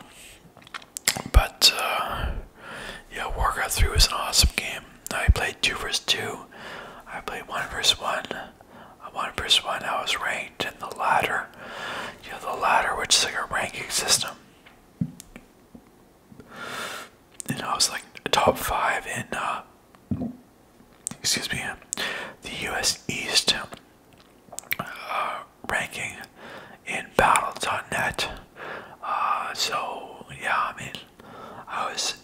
but uh, yeah, Warcraft 3 was an awesome game. I played 2 vs 2, I played 1 vs 1. Uh, 1 vs 1, I was ranked in the ladder. You know, the ladder, which is like a ranking system. And I was like top 5 in, uh, excuse me, the US East uh, ranking in Battle.net. Uh, so yeah, I mean, I was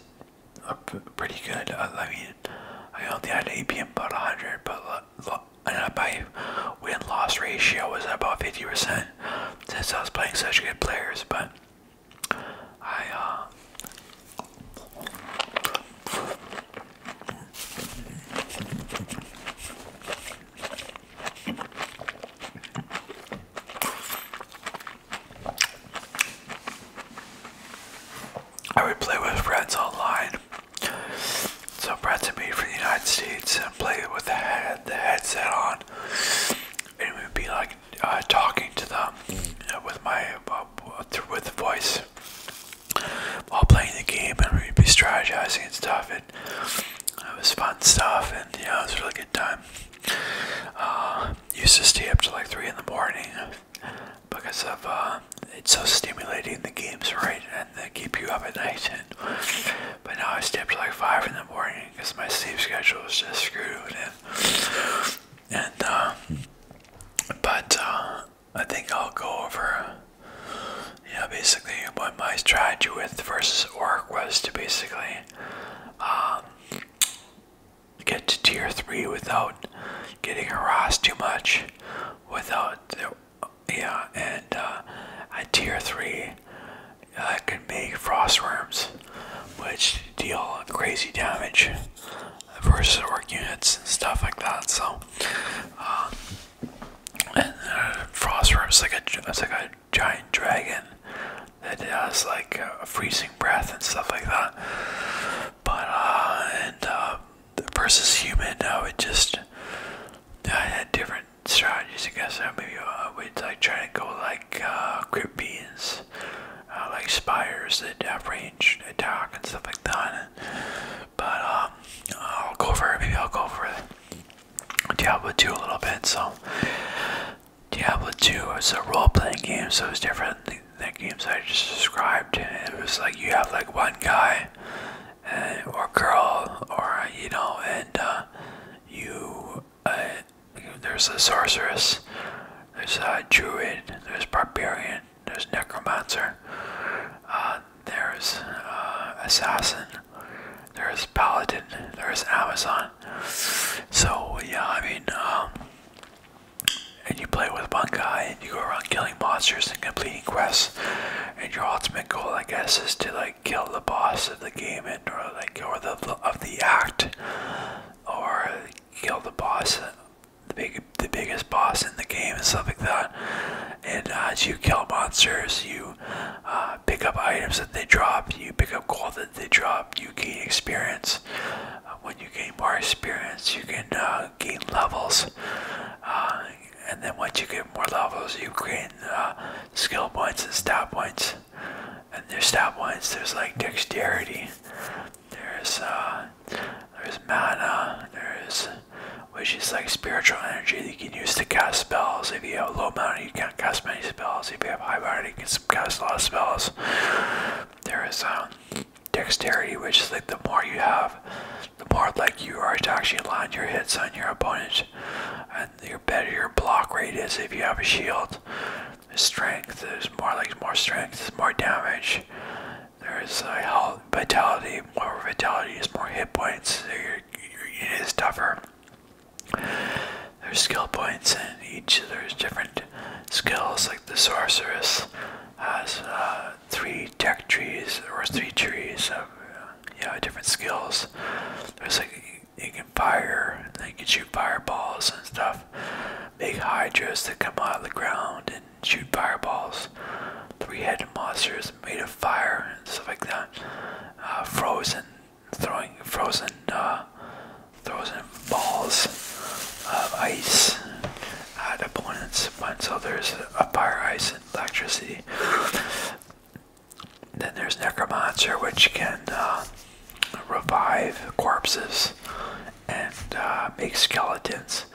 pretty good. I mean, I only had APM about 100, but and my win-loss ratio was about 50% since I was playing such good players. But I, uh, I would play with friends online. So friends would be from the United States and play with the, headset on. And it would be like uh, talking to them with my uh, with the voice while playing the game, and we'd be strategizing and stuff, and it was fun stuff, and you know, it was a really good time. Uh, used to stay up till like three in the morning because of uh, it's so stimulating. The games, right, and they keep you up at night. And but now I stay up till like five in the morning because my sleep schedule is just screwed. And and uh, but uh, I think I'll go over, yeah, basically what my strategy with versus orc was to basically um, get to tier 3 without getting harassed too much, without, yeah, and uh, at tier 3 I could make frostworms, which deal crazy damage versus orc units and stuff like that, so... Um, and uh, Frostworm's like a it's like a giant dragon that has like a freezing breath and stuff like that. But uh, and uh, versus human, I would just I had different strategies. I guess uh, maybe I would like try to go like uh, like spires that have range attack and stuff like that. but um, I'll go for maybe I'll go for Diablo 2 a little bit. So Diablo 2 was a role-playing game, so it was different than the games I just described. It was like you have like one guy eh, or girl, or you know, and uh, you. Uh, there's a sorceress, there's a druid, there's barbarian, there's Necromancer. Uh, there's uh, Assassin. There's Paladin. There's Amazon. So yeah, I mean, um, and you play with one guy, and you go around killing monsters and completing quests. And your ultimate goal, I guess, is to like kill the boss of the game, and or like or the of the act, or kill the boss the big, the biggest boss in the game and stuff like that. And as uh, you kill monsters, you uh, pick up items that they drop. You pick up gold that they drop. You gain experience. Uh, when you gain more experience, you can gain levels. and then once you get more levels, you gain skill points and stat points. And there's stat points. There's like dexterity. There's uh, there's mana. There's which is like spiritual energy that you can use to cast spells. If you have low mana, you can't cast many spells. If you have high mana, you can cast a lot of spells. There is um, dexterity, which is like the more you have, the more like you are to actually land your hits on your opponent, and the better your block rate is if you have a shield. strength, there's more like more strength, more damage. There is a health, vitality, more vitality is more hit points, so your unit is tougher. There's skill points in each, there's different skills, like the sorceress has uh, three tech trees, or three trees of uh, you know, different skills. There's like you can fire, and then you can shoot fireballs and stuff. Big hydras that come out of the ground shoot fireballs, three-headed monsters made of fire and stuff like that. Uh, frozen, throwing frozen, uh, frozen balls of ice at opponents. But so there's a fire, ice, and electricity. Then there's Necromancer, which can uh, revive corpses and make skeletons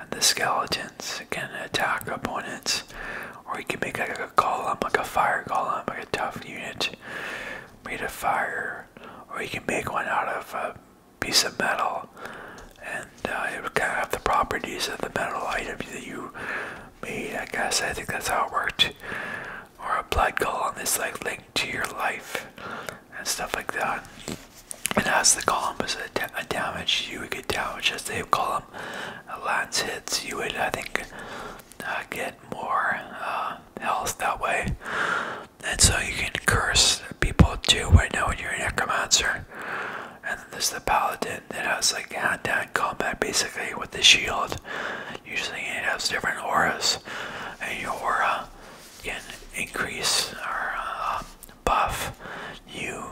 and the skeletons can attack opponents, or you can make like a column, like a fire column, like a tough unit made of fire, or you can make one out of a piece of metal, and uh, it would kind of have the properties of the metal item that you made. I guess I think that's how it worked. Or a blood column that's like linked to your life and stuff like that and as the column was a, damage, you would get damage as they column uh, lands hits. You would, I think, uh, get more uh, health that way. And so you can curse people too right now when you're a necromancer. And this there's the paladin that has like hand-to-hand combat basically with the shield. Usually it has different auras, and your aura can increase or uh, buff you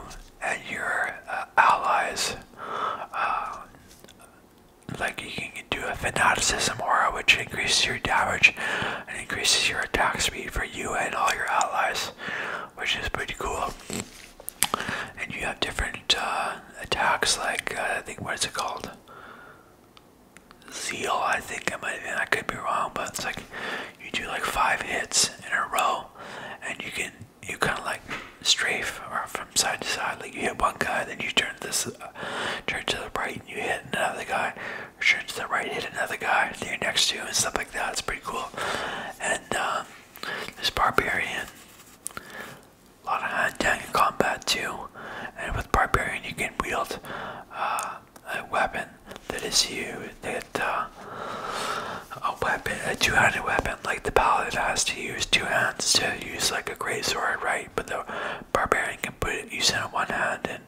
and your uh, allies. Uh, like you can do a fanaticism aura, which increases your damage and increases your attack speed for you and all your allies, which is pretty cool. And you have different uh, attacks, like I think what is it called? Zeal, I think I might. I could be wrong, but it's like you do like five hits in a row and you can you kind of like strafe or from side to side. Like you hit one guy, then you turn this uh, turn to the right, and you hit another guy. Turn to the right, hit another guy that you're next to, and stuff like that. It's pretty cool. And um, this barbarian, a lot of hand to hand combat too. And with barbarian, you can wield uh, a weapon that is you that uh, a weapon, a two-handed weapon like the paladin has to use two hands to use like a great sword, right? But the barbarian can put it use it one hand and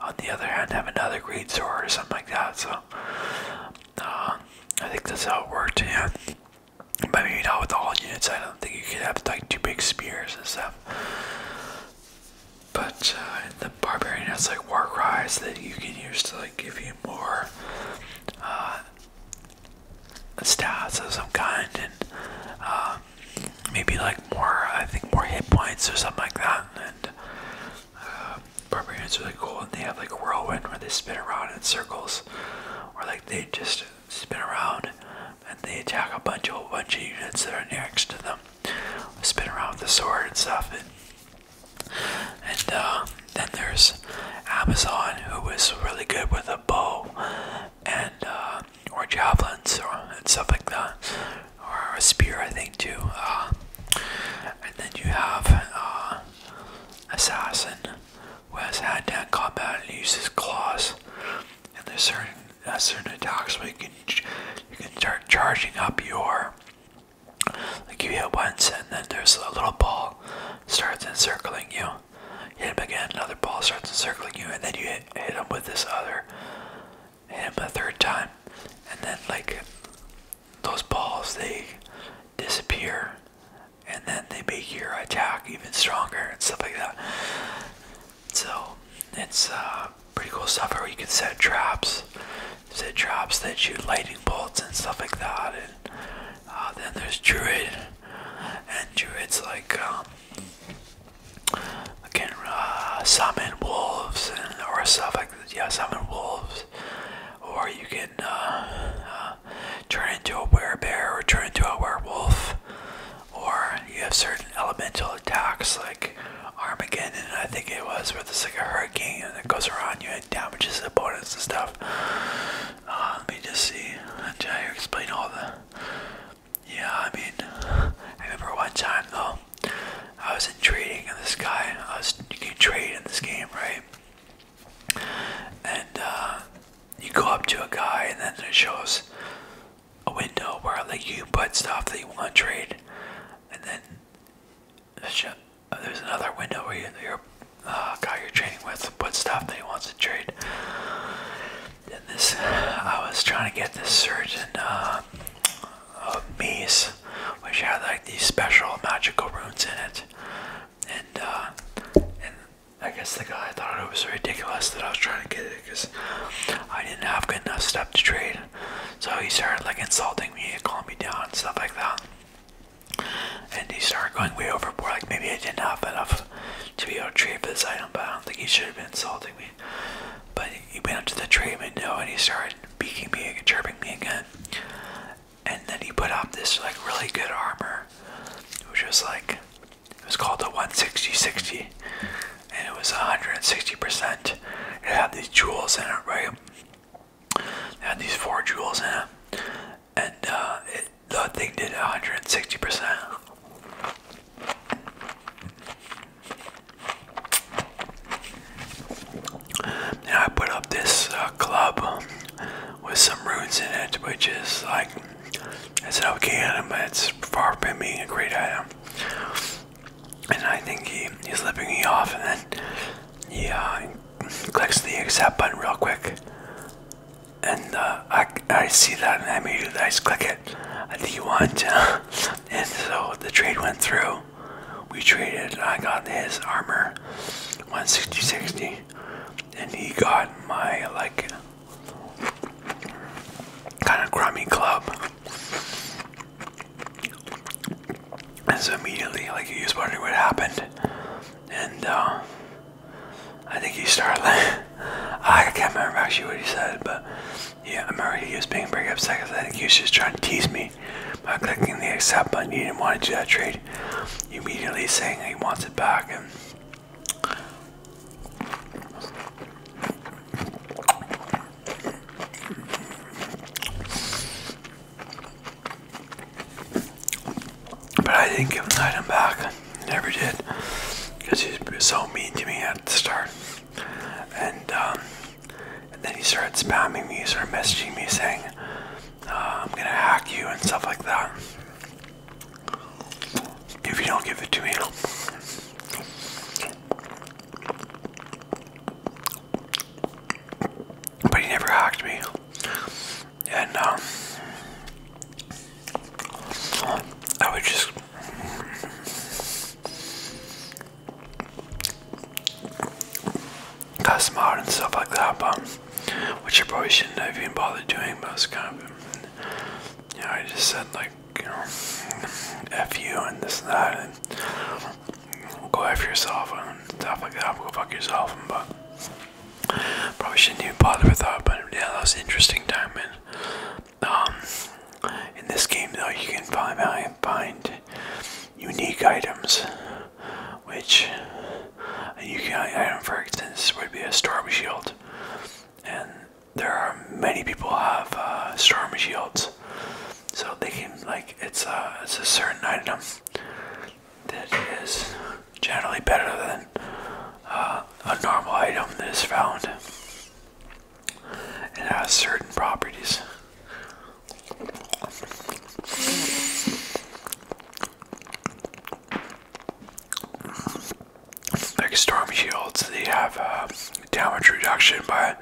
on the other hand have another great sword or something like that. So uh, I think that's how it worked. Yeah, but maybe not with all units. I don't think you could have like two big spears and stuff. But uh, the barbarian has like war cries that you can use to like actually give you more uh, stats of some kind and um, maybe like more, I think more hit points or something like that. And uh, barbarians are really cool and they have like a whirlwind where they spin around in circles or like they just spin around and they attack a bunch of whole bunch of units that are next to them. Spin around with the sword and stuff. And uh, then there's Amazon, who is really good with a bow and uh, or javelins or and stuff like that, or a spear, I think too. Uh, and then you have Assassin, who has had that hand combat and uses claws. And there's certain certain attacks where you can you can start charging up your like you hit once, and then there's a little ball starts encircling you. Hit him again, another ball starts encircling you, and then you hit, hit him with this other. Hit him a third time, and then like those balls they disappear, and then they make your attack even stronger and stuff like that. So it's uh, pretty cool stuff where you can set traps the drops that shoot lightning bolts and stuff like that. And uh, then there's Druid, and Druid's like can um, uh, summon wolves and or stuff like Yeah, summon wolves, or you can uh, turn into a werebear or turn into a werewolf. Or you have certain elemental attacks like Armageddon, I think it was, it's like a hurricane and it goes around you and damages the opponents and stuff. Uh, let me just see. I'm explain all the. Yeah, I mean, I remember one time though, I was in trading and this guy. I was trading in this game, right? And uh, you go up to a guy, and then it shows a window where like you put stuff that you want to trade, and then uh, there's another window where you, your uh, guy you're trading with put stuff that he wants to trade. And this, I was trying to get this certain uh, which had like these special magical runes in it, uh, and I guess the guy thought it was ridiculous that I was trying to get it because I didn't have good enough stuff to trade. So he started like insulting me and calling me down and stuff like that. And he started going way overboard, like maybe I didn't have enough to be able treatment, trade for this item, but I don't think he should have been insulting me. But he went up to the treatment window and he started beaking me and chirping me again. And then he put on this like really good armor, which was like it was called a 16060, and it was 160%. It had these jewels in it, right? had these four jewels in it, and uh, the thing did 160%. And I put up this uh, club with some runes in it, which is like it's an okay item, but it's far from being a great item. And I think he, he's lipping me off, and then yeah, clicks the accept button real quick, and uh, I I see that and I immediately I just click it. I think you want to, and so the trade went through. We traded. I got his armor, 160 60, and he got my like kind of crummy club. And so immediately, like he was wondering what happened, and uh, I think he started. I can't remember actually what he said, but yeah, I remember he was being very psycho. because I think he was just trying to tease me by clicking the accept button. He didn't want to do that trade. immediately saying he wants it back, and but I didn't give him the item back. Never did. Because he was so mean to me at the start. Um, and, then he started spamming me, he started messaging me saying, uh, I'm gonna hack you and stuff like that. If you don't give it to me. But he never hacked me. And um, I would just cuss him out and stuff like that, but which I probably shouldn't have even bothered doing, but it's kind of you know, I just said like, you know, F you and this and that go after yourself and stuff like that. Go fuck yourself. But probably shouldn't even bother with that. But yeah, that was interesting time. And um, in this game though, you can find find unique items, which you can. item, for instance, would be a storm shield. And there are many people have uh, storm shields, so they can like it's a it's a certain item that is generally better than uh, a normal item that is found and has uh, certain properties. Like storm shields, they have uh, damage reduction by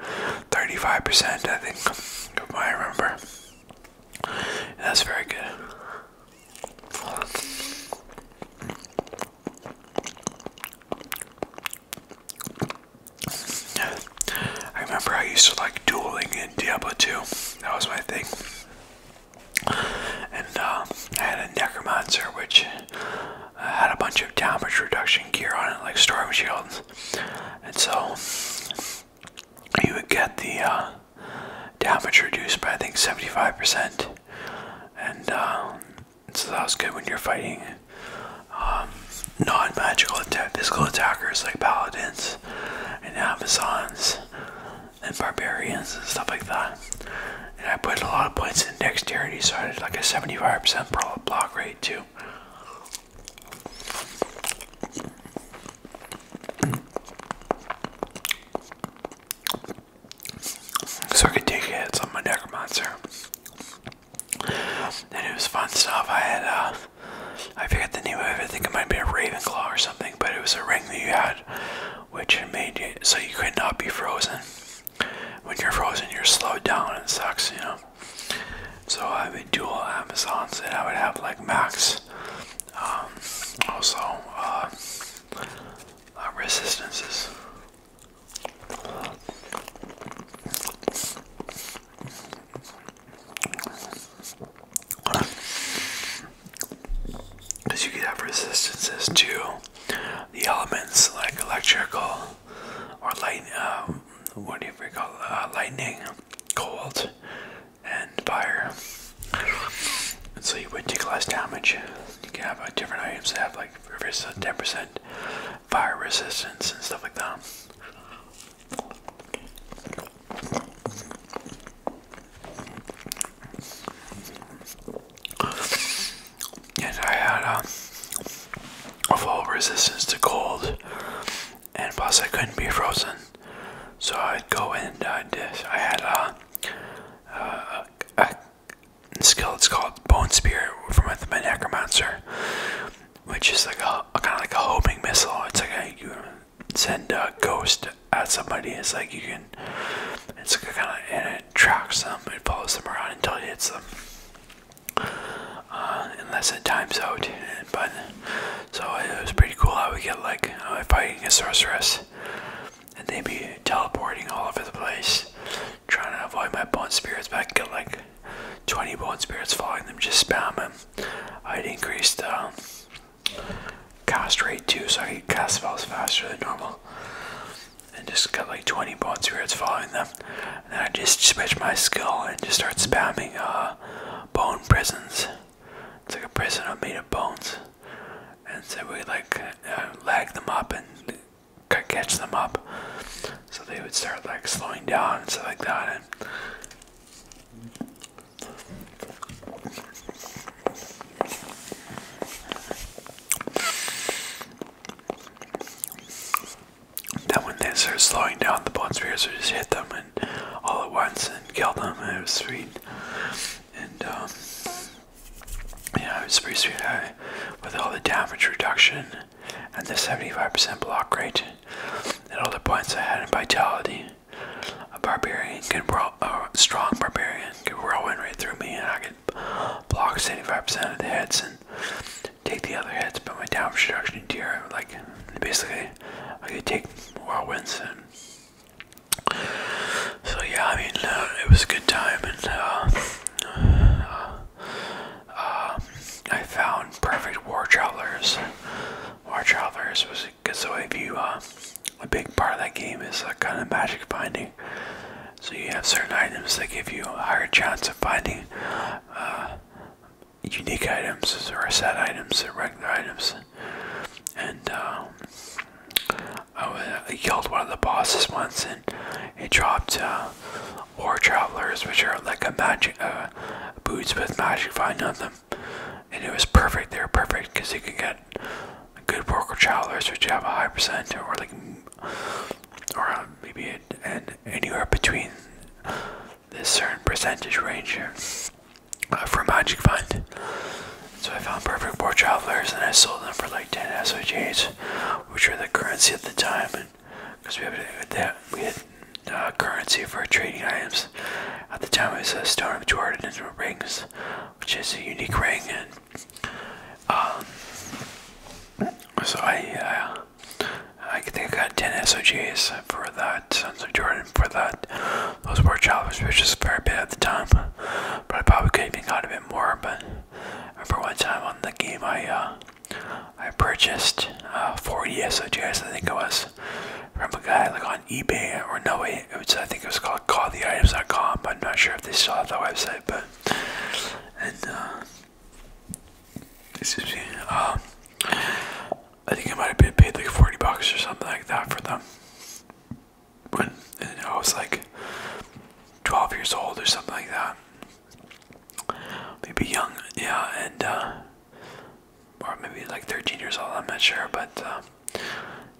35%, I think, I remember. That's very good. I remember I used to like dueling in Diablo 2. That was my thing. And uh, I had a Necromancer, which uh, had a bunch of damage reduction gear on it, like Storm Shields. And so you would get the uh, damage reduced by I think 75%, and uh, so that was good when you're fighting um, non-magical physical attackers like paladins and amazons and barbarians and stuff like that. And I put a lot of points in dexterity, so I had like a 75% block rate too. So I could take hits on my Necromancer. And it was fun stuff. I had, uh, I forget the name of it. I think it might be a Ravenclaw or something, but it was a ring that you had, which made you so you could not be frozen. When you're frozen, you're slowed down and it sucks, you know. So I would a dual Amazons and I would have like max um, also uh, uh, resistances. Because you could have resistances to the elements like electrical or lightning. Uh, what do we call uh, lightning, cold, and fire. so you would take less damage. You can have uh, different items that have like 10% uh, fire resistance and stuff like that. And I had a full resistance to cold and plus I couldn't be frozen, so I'd go in and uh, I'd, I had uh, a, skill. It's called Bone Spear from my necromancer, which is like a, kind of like a homing missile. It's like a, you send a ghost at somebody. It's like you can. It's like kind of and it tracks them. It follows them around until it hits them. unless uh, it times out, but so uh, it was pretty cool how we get like uh, fighting a sorceress, and they be teleporting all over the place, trying to avoid my bone spirits. But I could get like 20 bone spirits following them, just spamming. I'd increased the um, cast rate too, so I could cast spells faster than normal. And just got like 20 bone spirits following them. And I just switch my skill and just start spamming uh, bone prisons. It's like a prison made of bones. And so we like uh, lag them up and catch them up. So they would start like slowing down and stuff like that. And then when they start slowing down, the bone spears would just hit them and all at once and killed them. It was sweet. And um, yeah, it was pretty sweet I, uh, with all the damage reduction and the 75% block rate and all the points I had in vitality. A barbarian can strong barbarian could roll right through me, and I could block 75% of the hits and take the other hits. But my damage reduction tier, like basically I could take more wins. And so yeah, I mean, uh, it was a good time, and uh, uh, I found perfect war travelers. War travelers was good. So if you, a big part of that game is uh, kind of magic finding. So you have certain items that give you a higher chance of finding unique items, or set items, or regular items. And um, I, killed one of the bosses once, and it dropped uh, War Travelers, which are like a magic uh, boots with magic vine on them. And it was perfect. They were perfect because you can get good War Travelers, which have a high percent, or like, or maybe it, and anywhere between this certain percentage range here uh, for Magic Fund. So I found Perfect War Travelers and I sold them for like 10 SOGs, which were the currency at the time. And Because we had, that, we had uh, currency for trading items. At the time, it was a Stone of Jordan and Rings, which is a unique ring. And um, so I uh, I think I got 10 SOGs for that, Sons of Jordan for that. Those were choppers, which is a fair bit at the time. But I probably could have even got a bit more, but for one time on the game I uh, I purchased uh, 40 SOGs, I think it was, from a guy like on eBay or no way, it was, I think it was called Call the calltheitems.com, but I'm not sure if they still have that website, but and uh, excuse me, uh, I think I might have been paid like 40 bucks or something like that for them. When I was like 12 years old or something like that. Maybe young, yeah, and uh, or maybe like 13 years old, I'm not sure, but uh,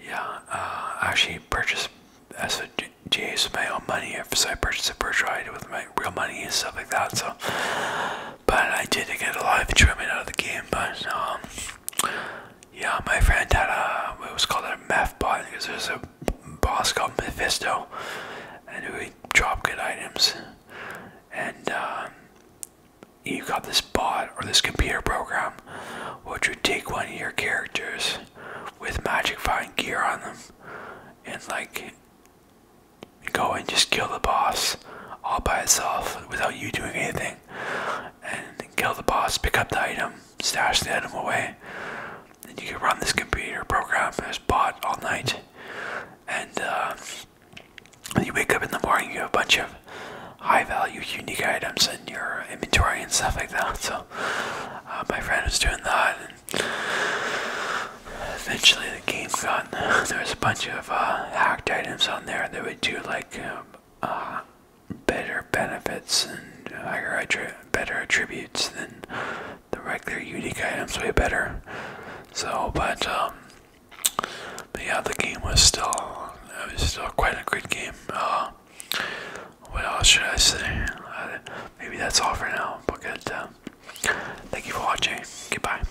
yeah, uh, I actually purchased SOGs with my own money, so I purchased a birch ride with my real money and stuff like that, so but I did not get a lot of enjoyment out of the game. But um, yeah, my friend had a it was called a meth bot because there's a boss called Mephisto, and who dropped good items, and um, you got this bot or this computer program, which would take one of your characters with magic find gear on them, and like go and just kill the boss all by itself without you doing anything. And kill the boss, pick up the item, stash the item away. And you can run this computer program as bot all night. And uh, when you wake up in the morning, you have a bunch of high value, unique items in your inventory and stuff like that. So, uh, my friend was doing that. And eventually, the game got There was a bunch of uh, hacked items on there that would do like um, uh, better benefits and higher uh, better attributes than the regular unique items way better. So, um, but yeah, the game was still it was still quite a good game. Uh, what else should I say? maybe that's all for now. But um, thank you for watching. Goodbye.